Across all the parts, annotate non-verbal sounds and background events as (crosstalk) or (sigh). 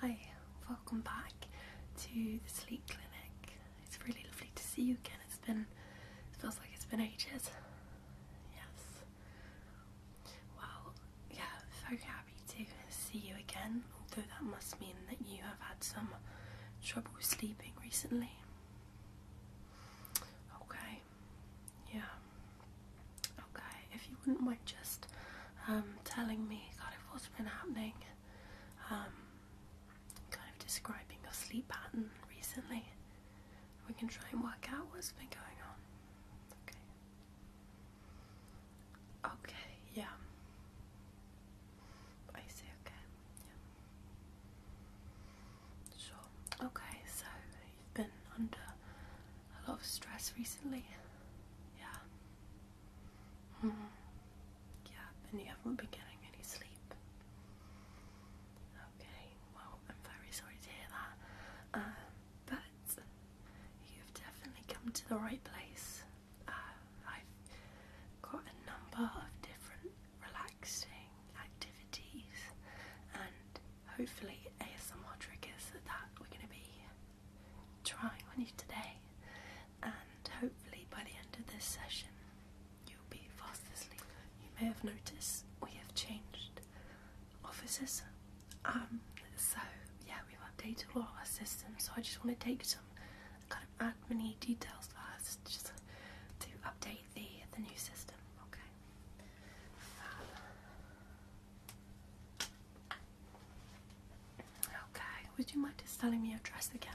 Hi, welcome back to the sleep clinic. It's really lovely to see you again. It's been, feels like it's been ages. Yes. Well, yeah, very happy to see you again, although that must mean that you have had some trouble sleeping recently. Okay, yeah. Okay, if you wouldn't mind just um, telling me kind of what's been happening, um, kind of describing your sleep pattern recently, we can try and work out what's been going on. Okay. Okay, yeah. I see, okay. Yeah. Sure. Okay, so you've been under a lot of stress recently. Yeah. Hmm. Yeah, and you haven't been getting any sleep. Okay, well, I'm very sorry to hear that. Uh, but you've definitely come to the right place. Uh, I've got a number of different relaxing activities, and hopefully, as ASMR triggers that we're going to be trying on you today, and hopefully by the end of this session, you'll be faster asleep. You may have noticed we have changed offices, um, so yeah, we've updated a lot of our systems. So I just want to take some kind of admin details first, just to update the the new system. Okay. Uh, Okay, would you mind just telling me your address again?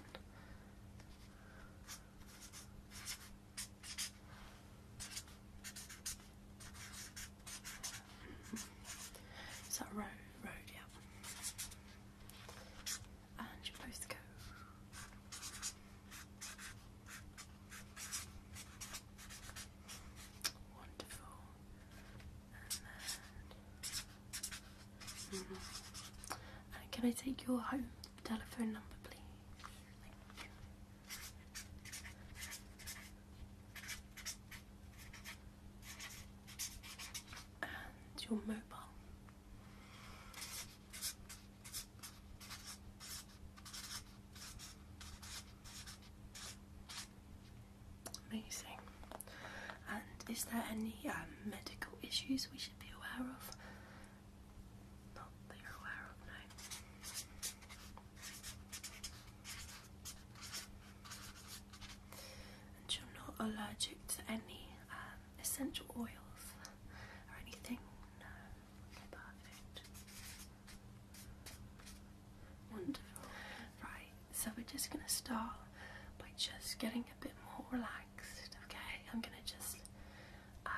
Mm-hmm. Is that road? Road, yeah. And your postcode. Wonderful. Mm-hmm. can I take your home telephone number, please? And your mobile. Amazing. And is there any um, medical issues we should be aware of? Not that you're aware of, no. And you're not allergic to any um, essential oils or anything? No. perfect. Right, so we're just going to start by just getting a bit more relaxed, okay? I'm going to just um,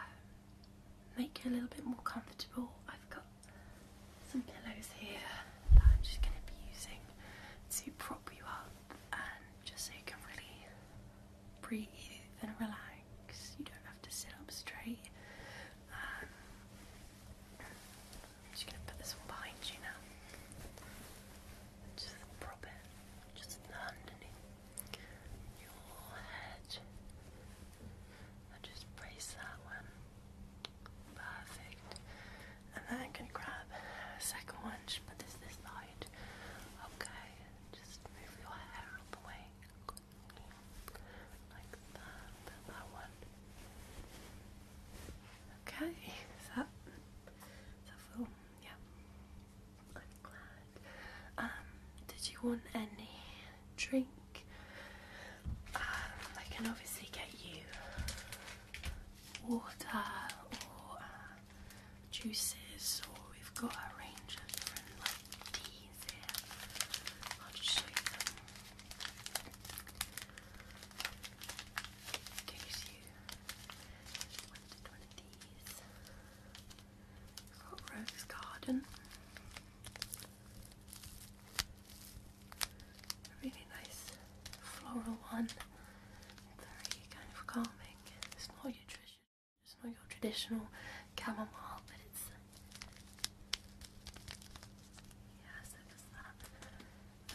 make you a little bit more comfortable. I've got some pillows here that I'm just going to be using to prop you up and just so you can really breathe and relax. You don't have to sit up straight. Um, I'm just gonna put this one behind you now. Just prop it, just underneath your head. And just brace that one. Perfect. And then I can grab a second one, just put this this side. Okay, just move your hair out the way. Like that, that one Okay, is that, is full? Yeah. I'm glad. Um, did you want any drink? Um, I can obviously get you water or uh, juices, or we've got a range of different like tea I'll just show you them. Gives you one, one of these. got Rose Garden. really nice floral one. Very kind of calming. It's not your traditional chamomile, but it's yeah, so there's that.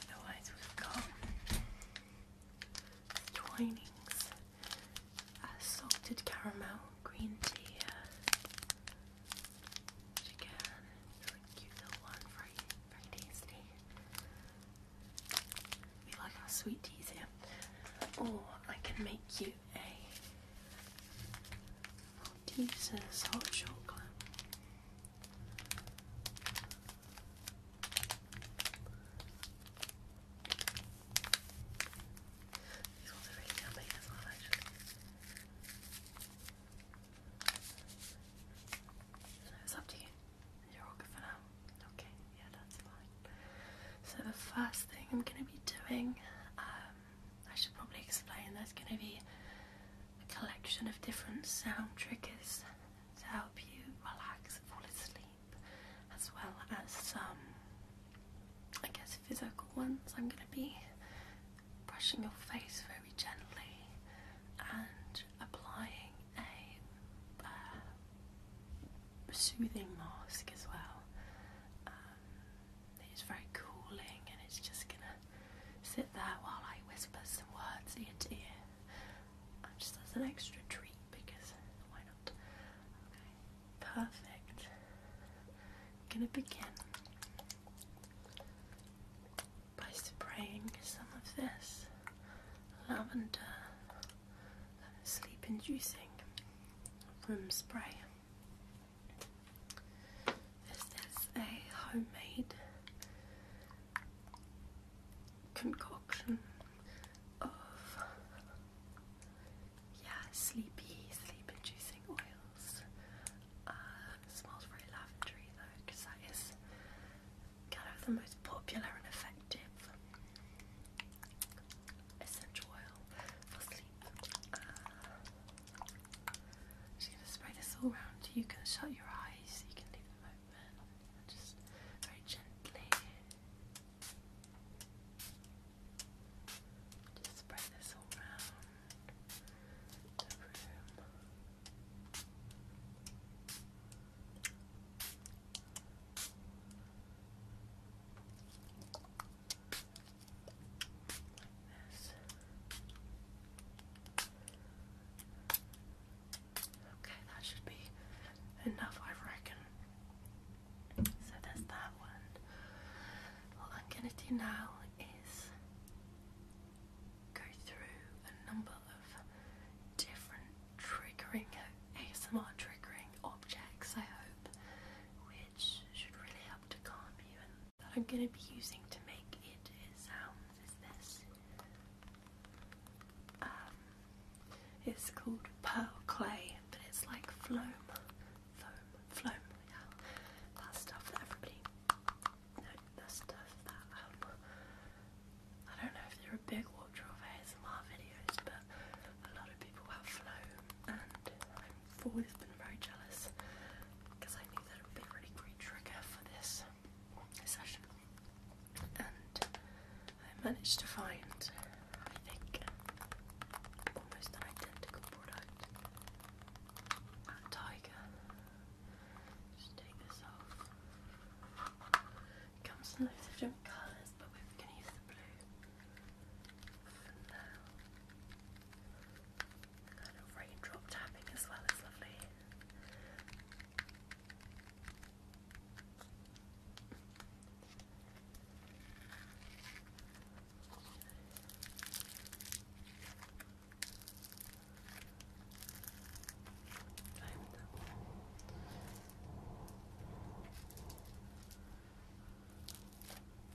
Otherwise, we've got Twinings uh, salted caramel green tea. Uh, again, it's like cute little one, very, very tasty. We like our sweet teas here. Or I can make you a Jesus, hot chocolate. These ones really coming as well, it's up to you. You're all for now. Okay, yeah, that's fine. So the first thing I'm going to be doing um, I should probably explain there's going to be a collection of different sound triggers to help you relax and fall asleep, as well as some, I guess, physical ones. I'm going to be brushing your face very gently and applying a uh, soothing mask as well it's very cooling and it's just gonna sit there while I whisper some words in your ear. And just as an extra treat because why not? perfect. gonna begin by spraying some of this lavender sleep inducing room spray. This is a homemade concoction of yeah, sleepy, sleep inducing oils. Uh, smells very lavender though, because that is kind of the most popular and effective essential oil for sleep. Uh, I'm just going to spray this all around. You can shut your eyes, you can leave them open, just very gently. Just spread this all around the room. Okay, that should be enough, I reckon. So there's that one. What I'm gonna do now is go through a number of different triggering ASMR triggering objects, I hope, that I'm going to be using to make it this. Um, it's called pearl clay, but it's like foam, foam, foam. Yeah, that stuff that everybody. No, that stuff that um, I don't know if they're a big watcher of ASMR videos, but a lot of people have flown, and I've been very jealous because I knew that would be a really great trigger for this session. And I managed to find, I think, almost an identical product at Tiger. Just take this off. comes in loads of different colours, but we're going to use the blue. The kind of raindrop tapping as well is lovely.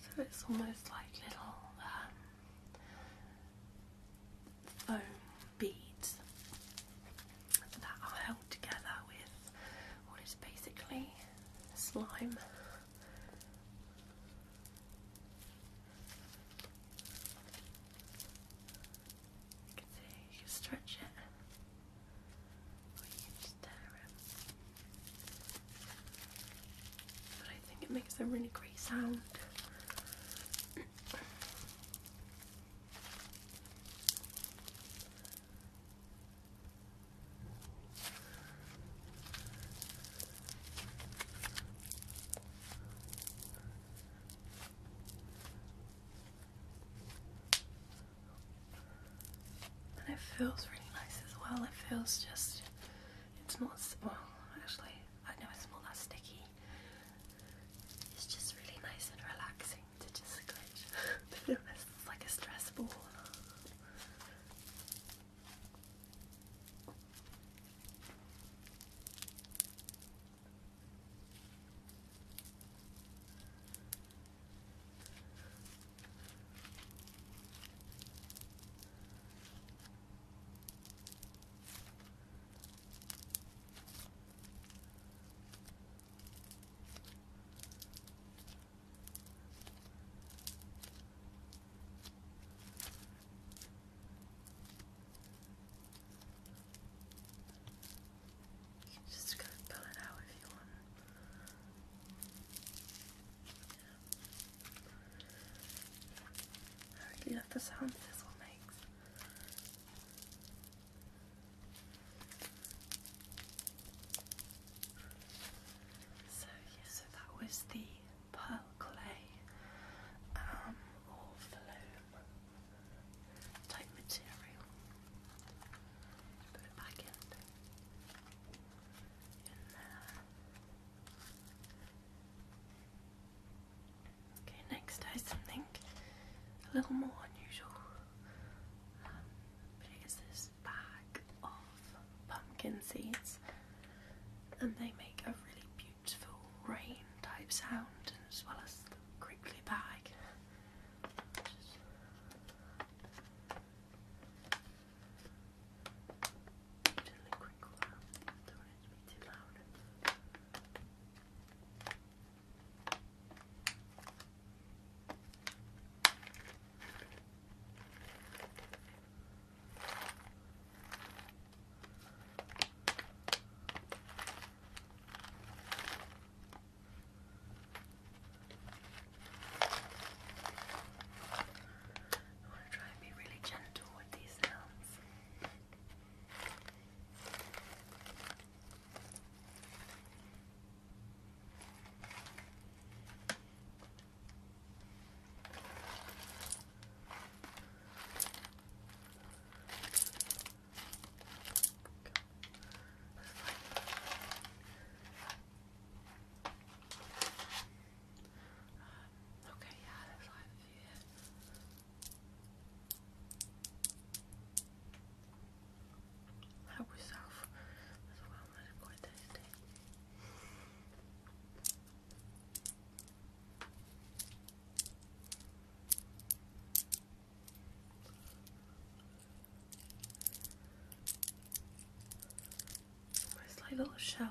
So it's almost like little um, foam beads that are held together with what is basically slime. You can see you can stretch it, but I think it makes a really great sound and it feels really nice as well. It feels just, it's not, well, actually, I know it's not that sticky. It's just really nice and relaxing to just glitch. (laughs) but the like a stress ball. You can just go pull it out if you want. I really love the sound this one makes. So yeah, so that was the pearl clay um, or flume type material. Put it back in. Okay, next is something a little more unusual. Um, this bag of pumpkin seeds, and they make a really beautiful rain type sound, as well as the crinkly bag. Gently crinkle out. Don't want too loud. I want to try and be really gentle with these sounds. Um, okay, yeah, that's all I have here. Help yourself it's like little shells.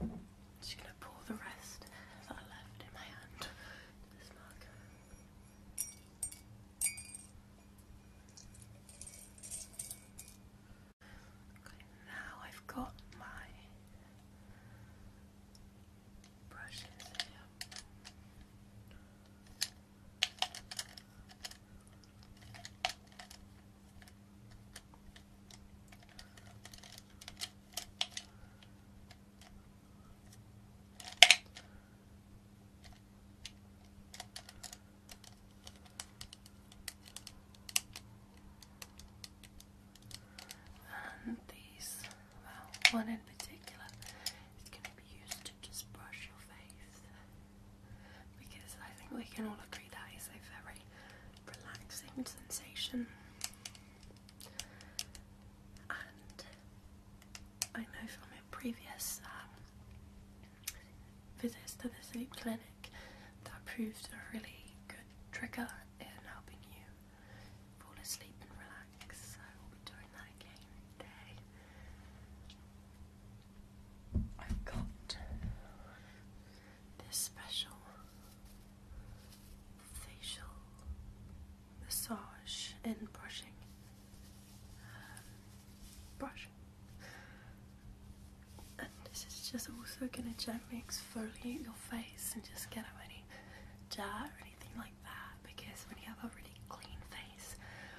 i um, just going to pour the rest that I left in my hand to this mug. Okay, now I've got my brushes here. And these, well, uh, one in particular is going to be used to just brush your face because I think we can all agree that is a very relaxing sensation. And I know from my previous um, visits to the sleep clinic that it proved a really good trigger in helping you fall asleep and relax. So I will be doing that again today. I've got this special facial massage and brushing um, brush. And this is just also gonna gently exfoliate your face and just get out any jar or anything like that because when you have a really clean face,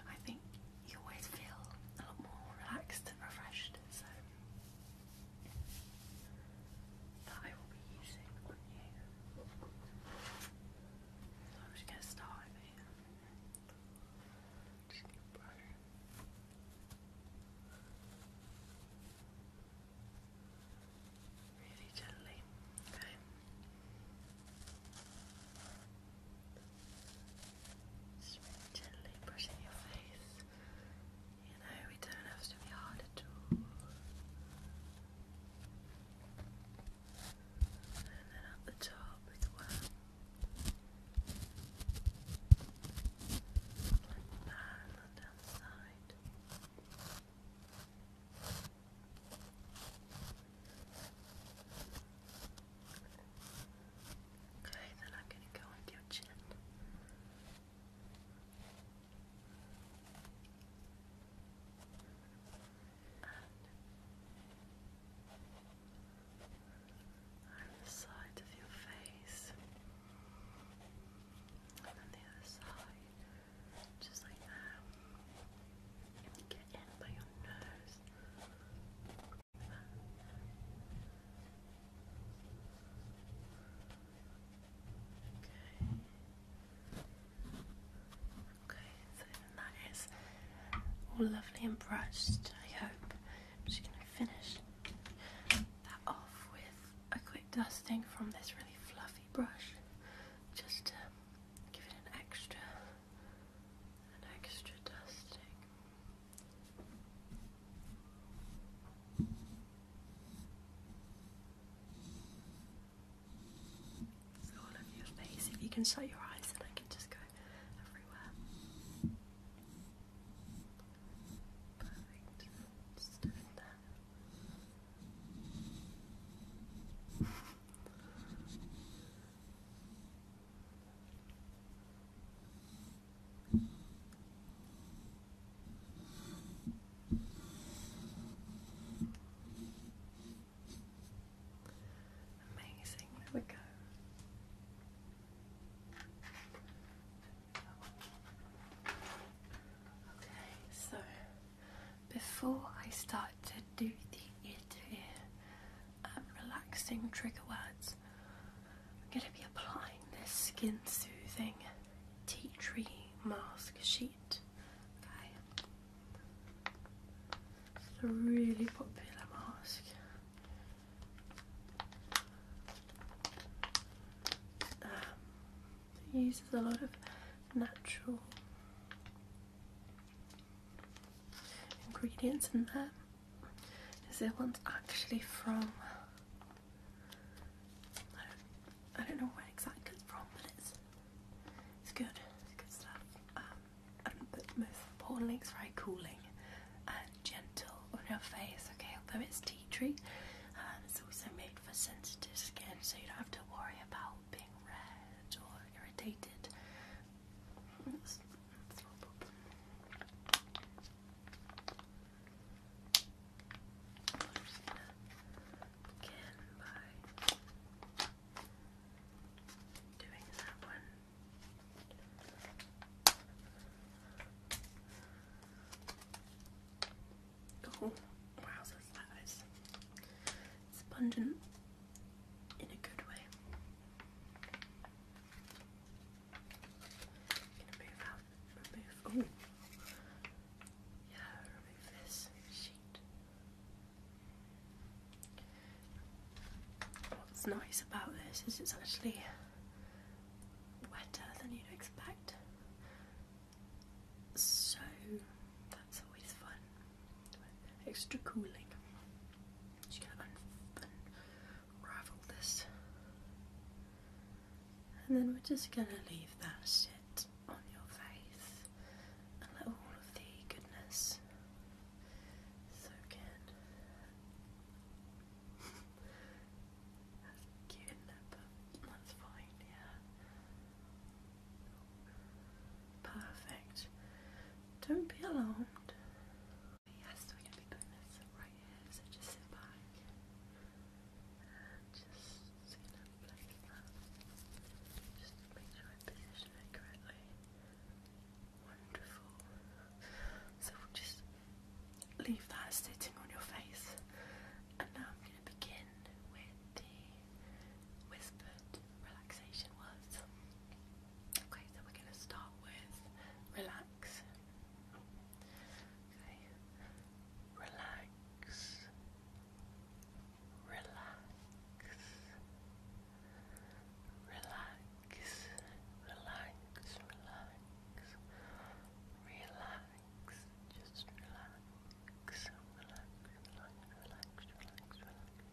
I think you always feel a lot more relaxed and refreshed. So that I will be using on you. So I'm just gonna start Really gently, okay. Just gently brushing your face. You know, we don't have to be hard at all. And then up the top as well. Like that, down the side. Okay, then I'm going to go under your chin. And the side of your face. And then the other side. Just like that. get in by your nose. Okay, so that is all lovely and brushed. I hope I'm just going to finish that off with a quick dusting from this really fluffy brush, just to give it an extra, an extra dusting all over your face. If you can shut your eyes, then I can just go everywhere. Perfect. Just do it there. Amazing, there we go. Okay, so before I start to do the interview um, relaxing trigger words. I'm going to be applying this skin soothing tea tree mask sheet. Okay. It's a really popular mask. it uses a lot of natural ingredients in there is there one's actually from I don't, I don't know where exactly it's from but it's it's good it's good stuff um, and but most importantly it's very cooling and gentle on your face okay although it's tea tree and um, it's also made for sensitive skin so you don't have to worry about being red or irritated I'm by doing that one. Oh, wow, so that is sponging in a good way going remove, ooh, yeah, remove this sheet. What's nice about this is it's actually wetter than you'd expect. So that's always fun extra cooling. Just gonna unravel this, and then we're just gonna leave that shit on your face and let all of the goodness soak in. That's cute, is that's fine, yeah. Perfect. Don't be alarmed. Yes, we're going to be putting this right here, so just sit back and just sit and place that. Just make sure I position it correctly. Wonderful. So we'll just leave that sitting on your face. And now I'm going to begin with the whispered relaxation was. Okay, so we're going to start with relax. Okay, relax, relax, relax, relax, relax, relax, just relax, relax, relax, relax, relax, relax.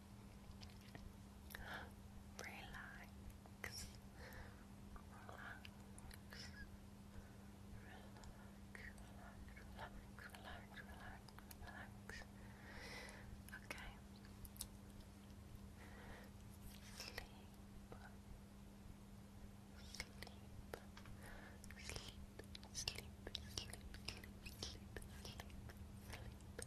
relax, relax, relax, relax, relax, relax. Okay. Sleep. Sleep. Sleep. Sleep. Sleep. Sleep. Sleep. Sleep. Sleep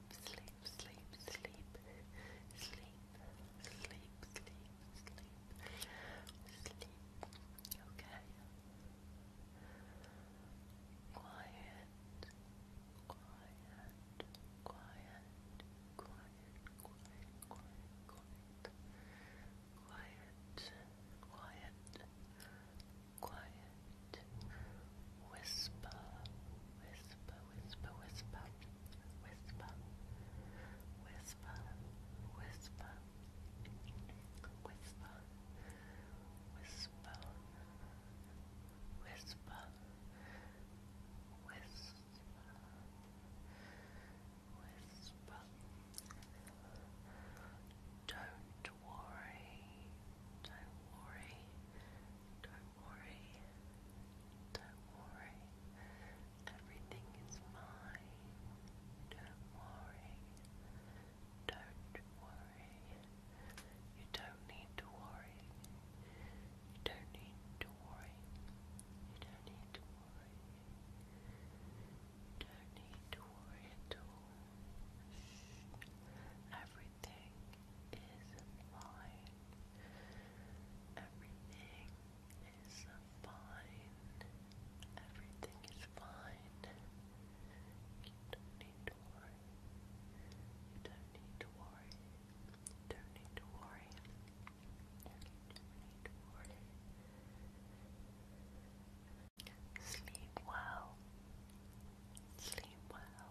sleep, sleep, sleep, sleep, sleep, sleep, sleep, sleep. Okay. Quiet, quiet, quiet, quiet, quiet, quiet, quiet, quiet, quiet, quiet. Whisper, whisper, whisper, whisper, whisper, whisper, whisper, whisper, whisper, whisper, whisper, Don't worry, don't worry. Don't worry. Don't worry. Everything is fine. Don't worry. Don't worry. You don't need to worry. You don't need to worry. You don't need to worry. You don't need to worry at all. Everything is fine. Everything is fine. Everything is fine. You don't need to worry. You don't need to worry. You don't need to worry. You don't need to worry. Sleep well. Sleep well.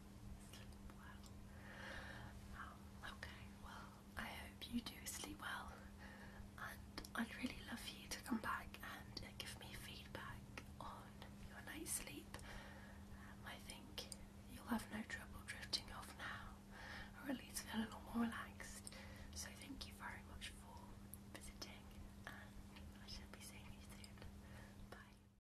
Um, okay, well, I hope you do sleep well, and I'd really love you to come back and give me feedback on your night's sleep. Um, I think you'll have no trouble drifting off now, or at least feel a lot more relaxed. So, thank you very much for visiting, and I shall be seeing you soon. Bye.